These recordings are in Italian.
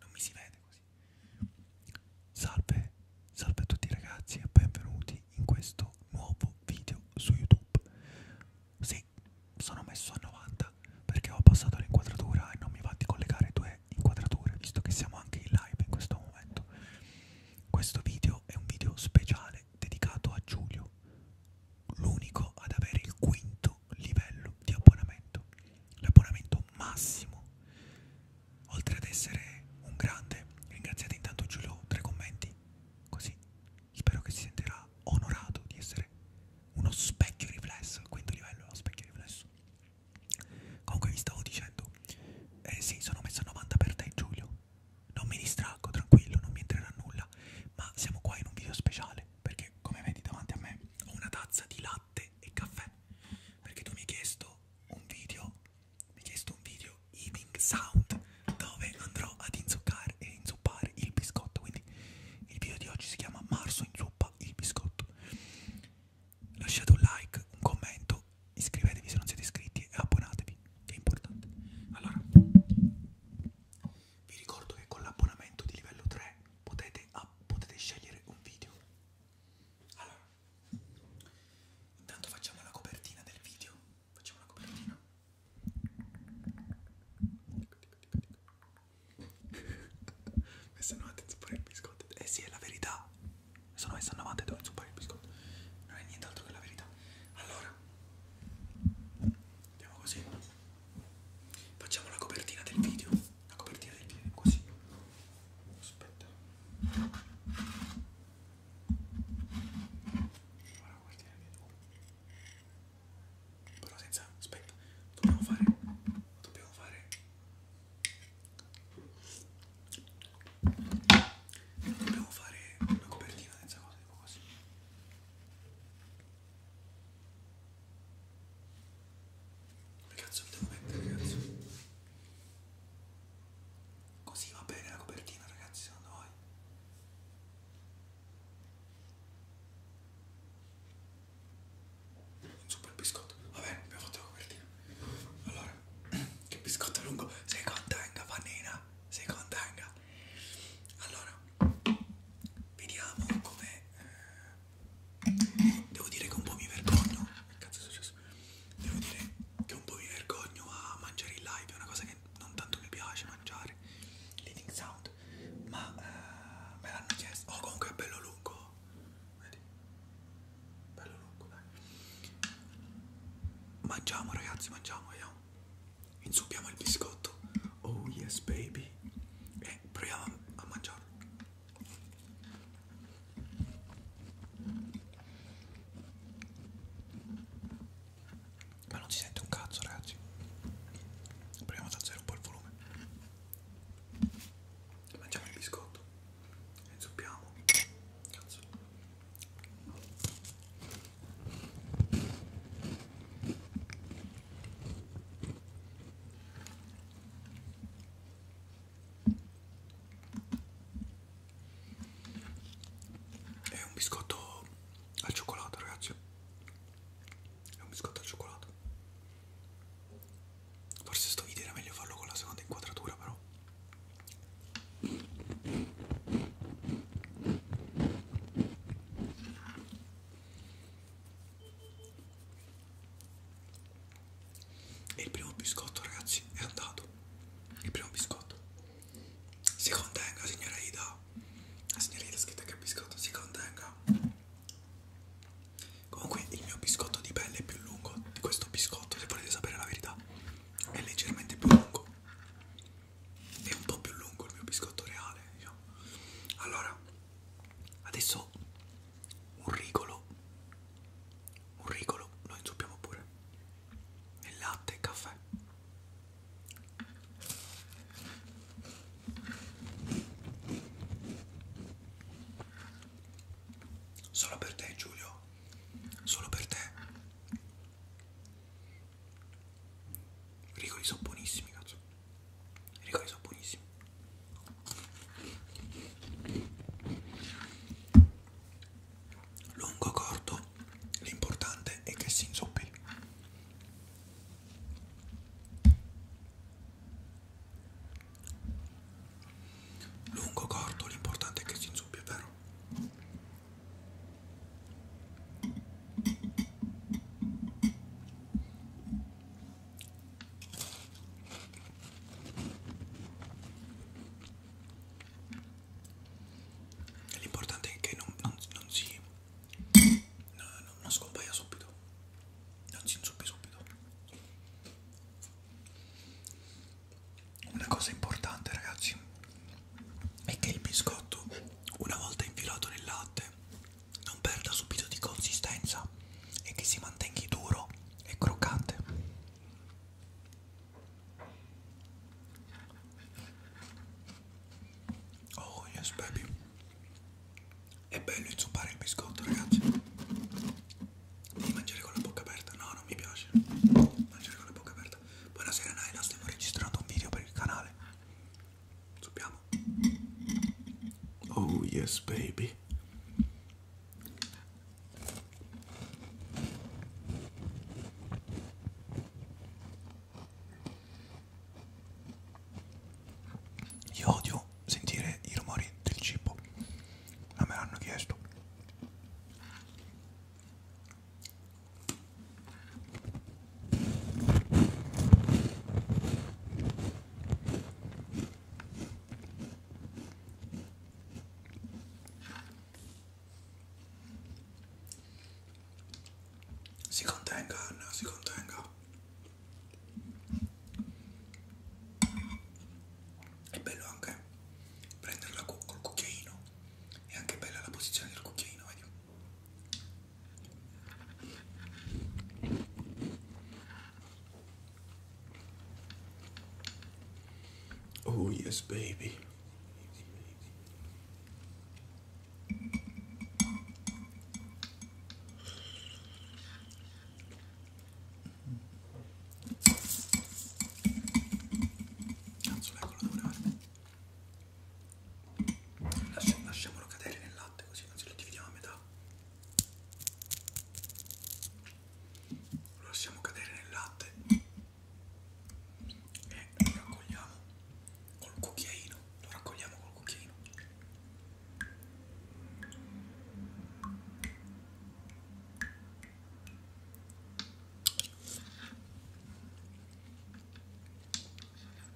non mi si vede così. Salve, salve a tutti ragazzi e benvenuti in questo nuovo video su YouTube. Sì, sono messo a 90 perché ho passato l'inquadratura e non mi va di collegare due inquadrature, visto che siamo anche in live in questo momento. Questo video è un video speciale dedicato a Giulio, l'unico ad avere il quinto massimo livello di abbonamento, l'abbonamento massimo. Oltre ad essere un grande, ringraziate intanto Giulio tra i commenti, così spero che si sentirà onorato di essere uno specchio riflesso, il quinto livello è uno specchio riflesso. Comunque vi stavo dicendo, eh sì, sono messo a 90 per te Giulio, non mi distraggo, tranquillo, non mi entrerà nulla, ma siamo qua in un video speciale, perché come vedi davanti a me ho una tazza di latte e caffè perché tu mi hai chiesto un video, mi hai chiesto un video eating sound dove andrò ad inzuccare e inzuppare il biscotto, quindi il video di oggi si chiama Marzo inzuppa il biscotto. Lasciate un like, un commento, iscrivetevi se non siete iscritti e abbonatevi, che è importante. Allora, vi ricordo che con l'abbonamento di livello 3 potete, ah, potete scegliere un video allora, intanto facciamo la copertina del video. Facciamo la copertina. Messa 90 zuppare il biscotto. Eh sì, è la verità. Sono messa 90 e devo zuppare il biscotto. Non è nient'altro che la verità. Allora, andiamo così. Facciamo la copertina del video la copertina dei piedi così aspetta allora, la copertina dei piedi però senza aspetta dobbiamo fare dobbiamo fare dobbiamo fare una copertina senza cose tipo così dove cazzo mi devo mettere, cazzo? Così va bene la copertina, ragazzi, secondo voi? Un super biscotto. Va bene, abbiamo fatto la copertina. Allora, che biscotto lungo. Sei contanga, panina? Sei contanga? Allora, vediamo come... Eh, Devo dire che un po' mi vergogno. Che cazzo è successo? Devo dire che un po' mi vergogno a mangiare in live, è una cosa che non tanto mi piace mangiare. Leading sound. Ma eh, me l'hanno chiesto. Oh, comunque è bello lungo. Vedi? Bello lungo, dai. Mangiamo, ragazzi, mangiamo, vediamo. Inzuppiamo il biscotto. Oh yes, baby. E proviamo a mangiarlo. Ma non si sente un cazzo ragazzi Proviamo ad alzare un po' il volume Mangiamo il biscotto E zuppiamo Cazzo è un biscotto al cioccolato, ragazzi. È un biscotto al cioccolato. Forse sto video era meglio farlo con la seconda inquadratura, però. E il primo biscotto, ragazzi, è andato. Il primo biscotto. Si contenga, signora Ida. La signora Ida ha scritto che è biscotto, si contenga. Comunque il mio biscotto di pelle è più lungo di questo biscotto, se volete sapere la verità. È leggermente più lungo. È un po' più lungo il mio biscotto reale. Io. Diciamo. Allora, adesso un ricolo, un ricolo lo inzuppiamo pure, il latte e caffè. Solo per te Giulio, solo per te. I ricoli sono buonissimi, cazzo. I ricoli sono buonissimi lungo corto l'importante è che si inzuppi lungo corto l'importante è che si inzuppi è vero L'importante è che non, non, non si no, no, non scompaia subito, non si inzuppi subito. Una cosa importante, ragazzi, è che il biscotto, una volta infilato nel latte, non perda subito di consistenza e che si mantenga duro e croccante oh yes baby è bello inzuppare il biscotto ragazzi devi mangiare con la bocca aperta no non mi piace mangiare con la bocca aperta buonasera Naila stiamo registrando un video per il canale Zuppiamo. Oh yes baby io odio sentire i rumori del cibo, ma me l'hanno chiesto. Si contenga Anna, si contenga. È bello anche prenderla cu col cucchiaino. È anche bella la posizione del cucchiaino, vedi? Oh, yes, baby. Cazzo, eccolo, devo levare. Lasciamolo cadere nel latte, così anzi lo dividiamo a metà lo lasciamo cadere nel latte e lo raccogliamo col cucchiaino lo raccogliamo col cucchiaino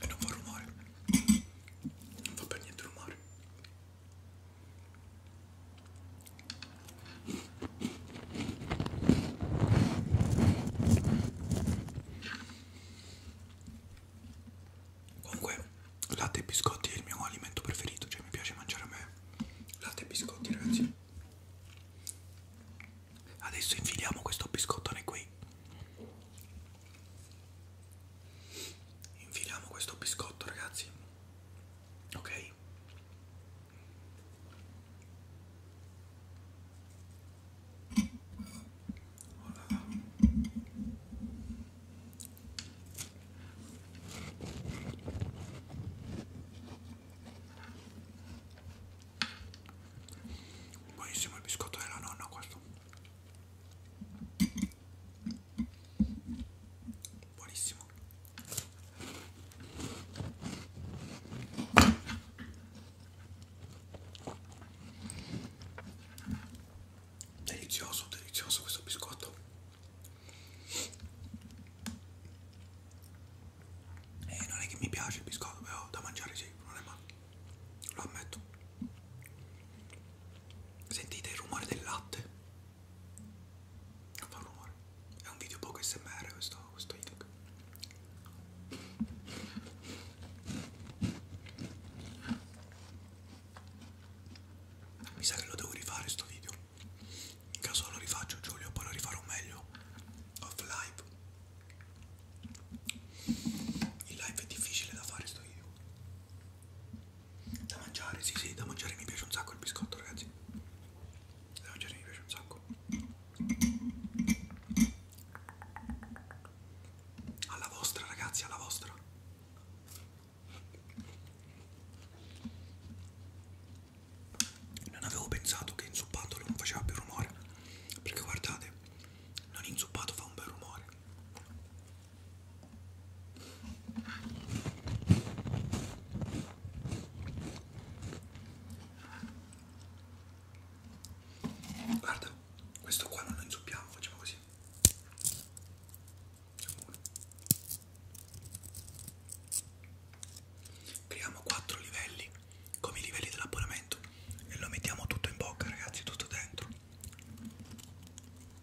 e non fa rumore non fa per niente rumore Comunque, latte e biscotti è il mio alimento preferito, cioè mi piace mangiare a me latte e biscotti, ragazzi. Adesso infiliamo questo biscottone qui. Infiliamo questo biscotto, ragazzi ok Hola. buonissimo il biscotto della nonna questo buonissimo delizioso delizioso questo biscotto e eh, non è che mi piace il biscotto però da mangiare sì non è male lo ammetto sentite il rumore del latte non fa rumore. È un video poco smr questo, questo Inuk. Mi sa che lo devo rifare sto video. In caso lo rifaccio Giulio, poi lo rifarò meglio. Off live. Il live è difficile da fare sto video. Da mangiare, sì sì, da mangiare mi piace un sacco il biscotto ragazzi Da mangiare mi piace un sacco Alla vostra ragazzi, alla vostra Non avevo pensato che inzuppato non faceva più rumore Perché guardate, non inzuppato fa un bel rumore Guarda, questo qua non lo inzuppiamo, facciamo così. Creiamo quattro livelli, come i livelli dell'abbonamento, e lo mettiamo tutto in bocca, ragazzi, tutto dentro.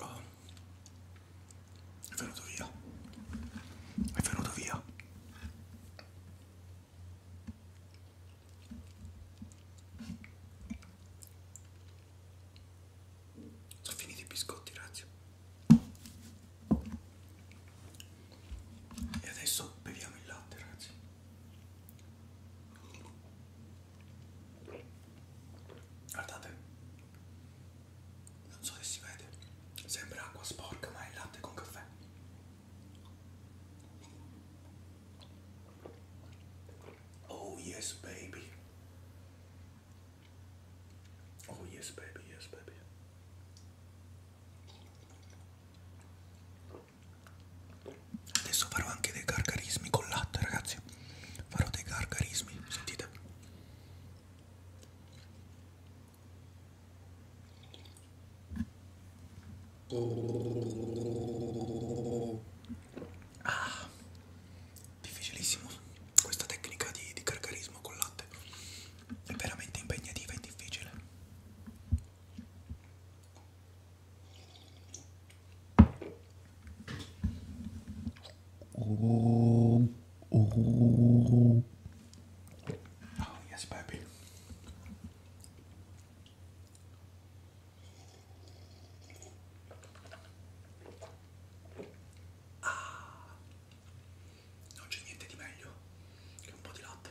Oh. È venuto via. È venuto via. Sono finiti i biscotti, ragazzi. E adesso beviamo il latte, ragazzi. Guardate, non so se si vede, sembra acqua sporca ma è latte con caffè. Oh yes baby. Oh yes baby, yes baby. Adesso farò anche dei gargarismi con latte, ragazzi. Farò dei gargarismi, sentite. Ah, difficilissimo questa tecnica di, di gargarismo con latte. È veramente impegnativa e difficile. Oh, oh. oh yes, baby. Ah, non c'è niente di meglio che un po' di latte.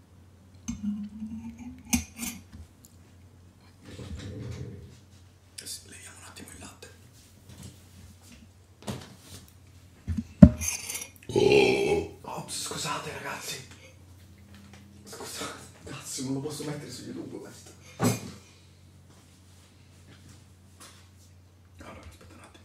Leviamo un attimo il latte. Oh, oh scusate ragazzi. Scusate, cazzo, non lo posso mettere su YouTube questo. Allora, aspetta un attimo.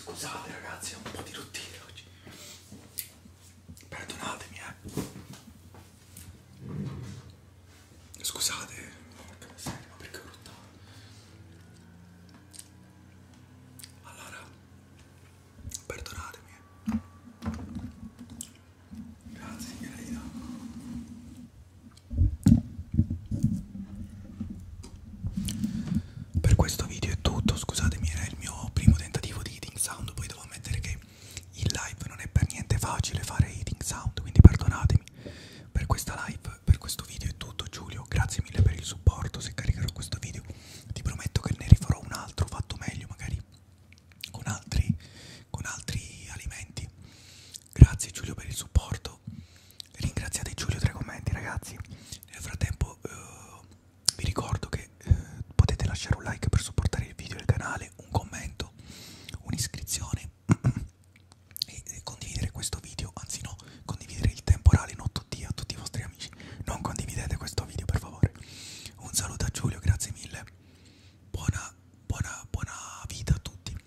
Scusate ragazzi, è un po' di rottino oggi. Perdonatemi, eh. Scusate, porca miseria, ma perché ho rottato? Allora, perdonatemi. Eh. Grazie, Irina. Per questo video è tutto, scusatemi era il mio primo tentativo di eating sound, poi devo ammettere che in live non è per niente facile fare eating sound, quindi perdonatemi. Per questa live, per questo video è tutto Giulio, grazie mille per il supporto, se caricherò questo video ti prometto che ne rifarò un altro fatto meglio magari con altri, con altri alimenti Grazie Giulio per il supporto. Ringraziate Giulio tra i commenti, ragazzi. Nel frattempo uh, vi ricordo che uh, potete lasciare un like per supportare il video e il canale, un commento, un'iscrizione e, e condividere questo video, anzi no, condividere il temporale Notto D a tutti i vostri amici. Non condividete questo video, per favore. Un saluto a Giulio, grazie mille. Buona, buona, buona vita a tutti.